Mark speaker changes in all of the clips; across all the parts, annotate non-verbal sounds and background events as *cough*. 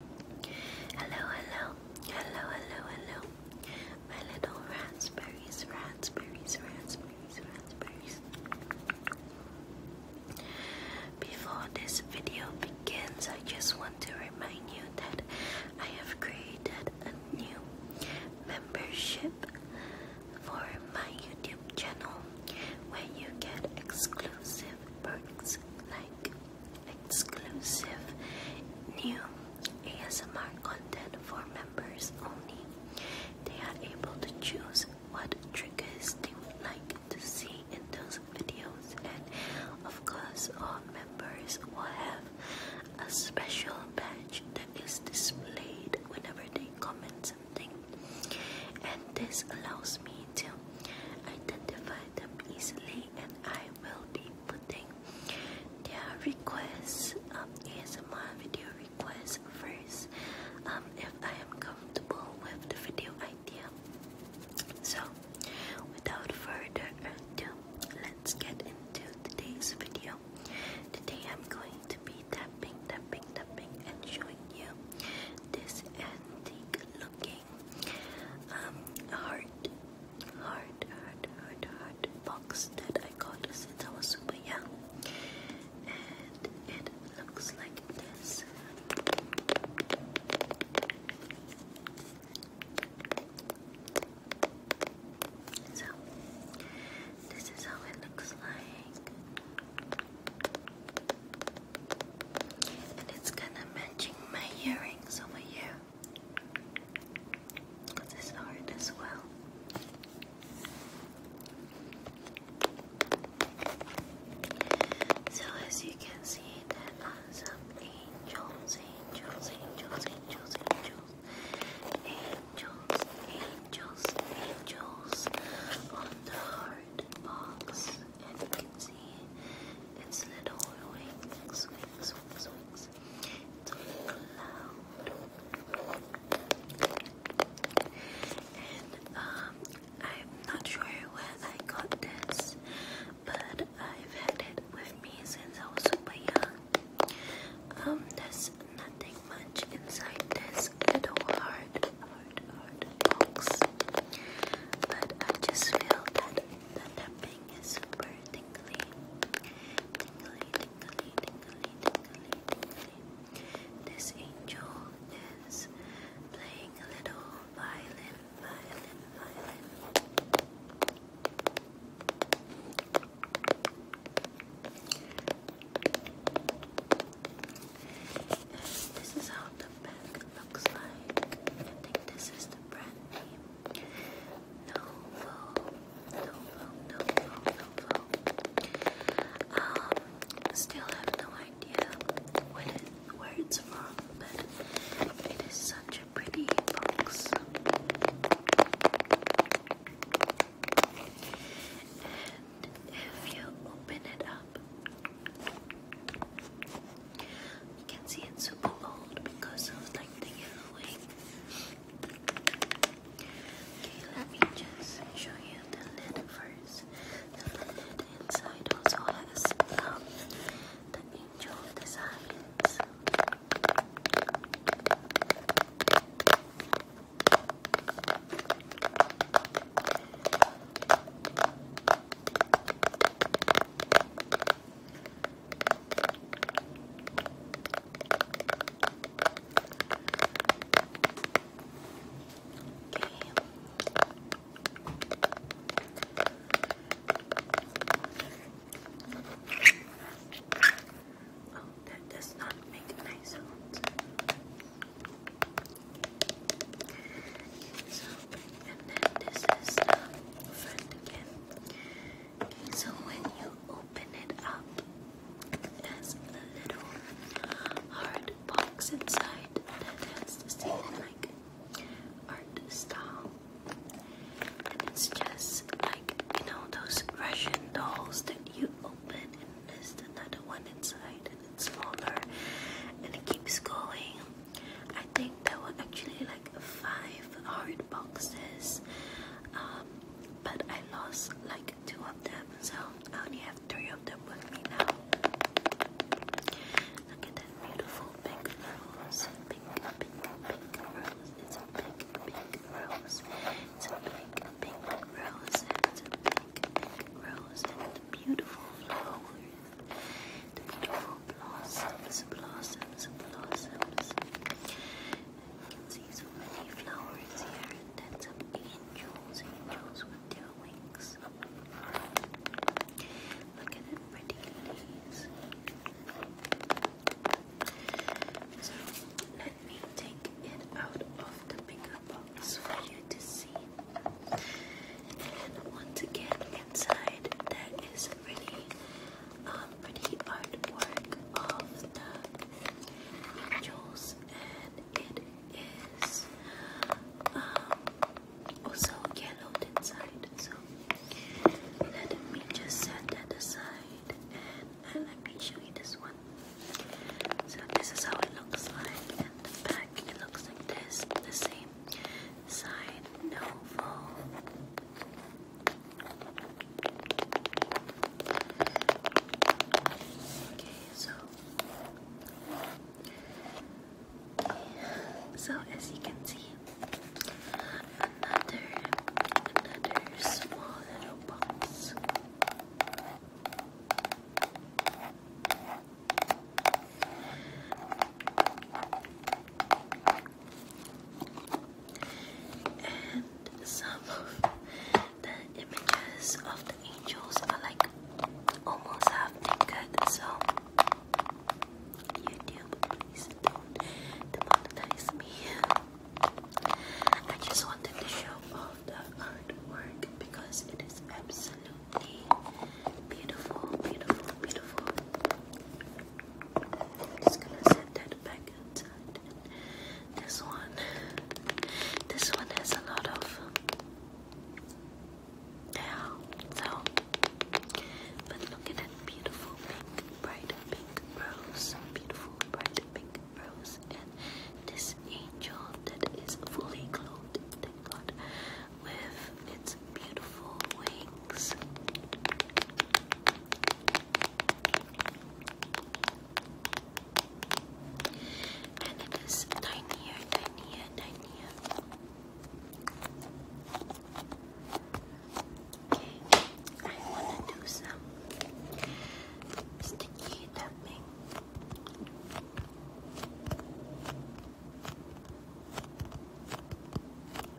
Speaker 1: Hello, hello, hello, hello, hello. My little raspberries, raspberries, raspberries, raspberries. Before this video begins, I just want to remind you that I have created a new membership for my YouTube channel where you get exclusive perks like exclusive new ASMR content for members only. They are able to choose what triggers they would like to see in those videos, and of course, all members will have a special badge that is displayed whenever they comment something, and this allows me to identify them easily and I will be putting their requests, um, ASMR video requests first um, if I am comfortable with the video idea. So, without further ado, let's get into today's video. Today I'm going to be tapping, tapping, tapping and showing you this antique looking okay? Um, heart, heart, heart, heart, heart box that I got since I was super young. And it looks like this. So, this is how it looks like. And it's kind of matching my earring some of you to this art as well. So as you can see, there are some angels, angels, angels, angels, angels, angels, angels, angels on the heart box and you can see its little wings, It's on a And um, I'm not sure where I got this, but I've had it with me since I was super young. Um, there's nothing much inside this little hard, hard, hard box, but I just feel that the tapping is super tingly. Tingly, tingly, tingly, tingly, tingly. This angel is playing a little violin, violin, violin. this is how the looks like. I think this is the brand name. Novo, Novo, Novo, Novo. Um, still have no idea where it's from, but it is such a pretty box. And if you open it up, you can see it's super old because of like the yellowing. Okay, let me just show you the lid first. The lid inside also has um, the angel designs. Oh, that does not make a nice sound. So, and then this is the front again. so when you open it up, it a little hard box inside that has the same like art style. And it's just like you know those Russian dolls that you open and there's another one inside and it's smaller and it keeps going I think there were actually like five hard boxes, um, but I lost like two of them, so I only have three of them with me now. Look at that beautiful pink rose, pink, pink, pink rose. It's a pink, pink rose. It's a pink, pink rose. it's a pink, pink rose, and beautiful flowers. The beautiful blossoms, blossoms, blossoms. You can see so many flowers here, and then angels, angels with their wings. Look at the pretty leaves. So let me take it out of the bigger box for you to see. And once again, inside there is pretty, um, pretty artwork of the angels, and it is um, also yellowed inside. So let me just set that aside, and let me show you this one. So this is how it looks like, and the back it looks like this. The same. Side, no fold, Okay, so so as you can see, another another small little box and some the images of the angels are like almost half naked. So YouTube, please don't demonetize me. I just wanted to show off the artwork because it is absolutely beautiful, beautiful, beautiful just gonna set that back outside. This one, this one has a lot of yeah. So, but look at beautiful pink, bright pink rose, beautiful bright pink rose, and this angel that is fully clothed. Thank God, with its beautiful wings. And it is tinier, tinier, tinier. Okay, I want to do some sticky tapping.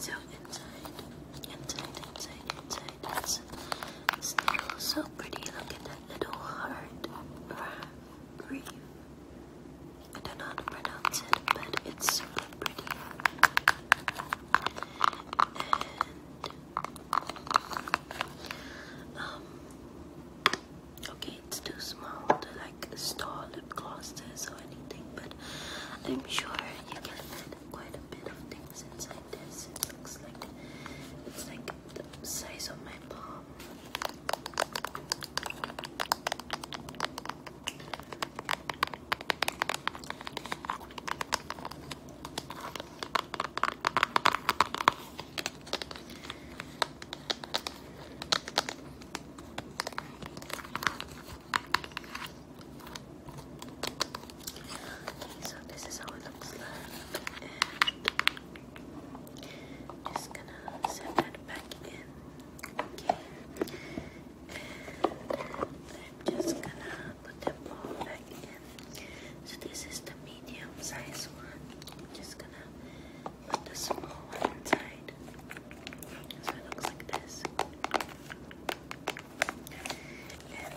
Speaker 1: So inside, inside, inside, inside, it's still so pretty. Look at that little heart from I don't pronounce it, but it's pretty. um okay it's too small to like store lip glosses or anything but I'm sure you can fit quite a bit of things inside this. It looks like it's like the size of my palm so this is how it looks like. just gonna set that back in. I'm just gonna put the ball back in. So this is the medium size one. just gonna put the small one inside. So it looks like this and then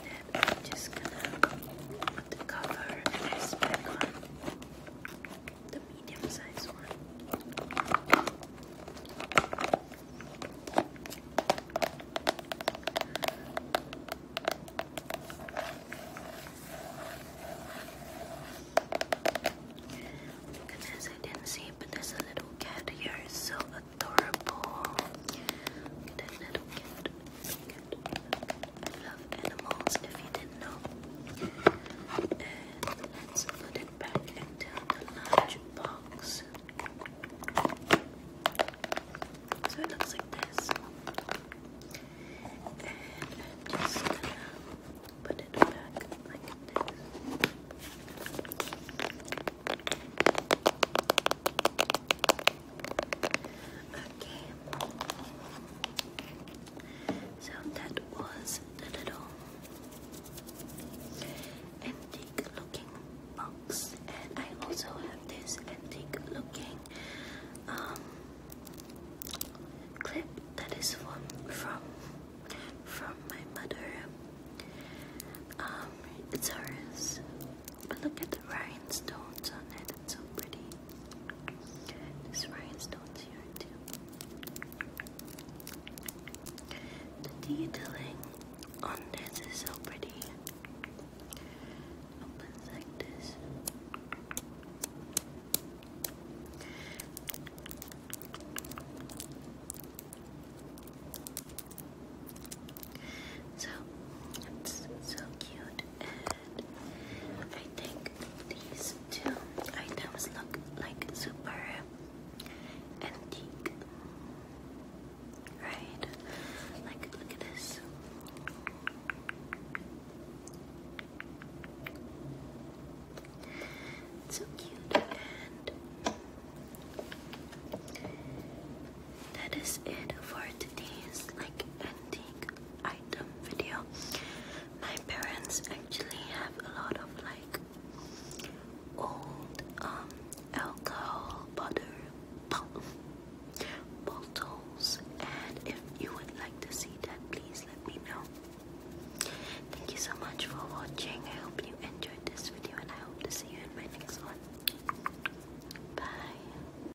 Speaker 1: I'm just gonna cover this back the medium sized one. Goodness, I didn't see, but there's a little cat here. so adorable. Look at that little cat love animals if you didn't know. And put it back into the large box. So it looks like this. And just put it back like this. Okay. So that was the little antique looking box, and I also have this antique looking um, clip that is from from from my mother. Um, it's ours. Look at the rhinestones on it, it's so pretty. There's rhinestones here too. The detailing on this is so pretty. Opens like this. So it's so cute. I think these two items look like super antique, right? Like, look at this. so cute, and that is it for today's like antique item video. My parents actually have a lot of like old um alcohol butter *laughs* bottles and if you would like to see that please let me know. Thank you so much for watching. I hope you enjoyed this video and I hope to see you in my next one. Bye.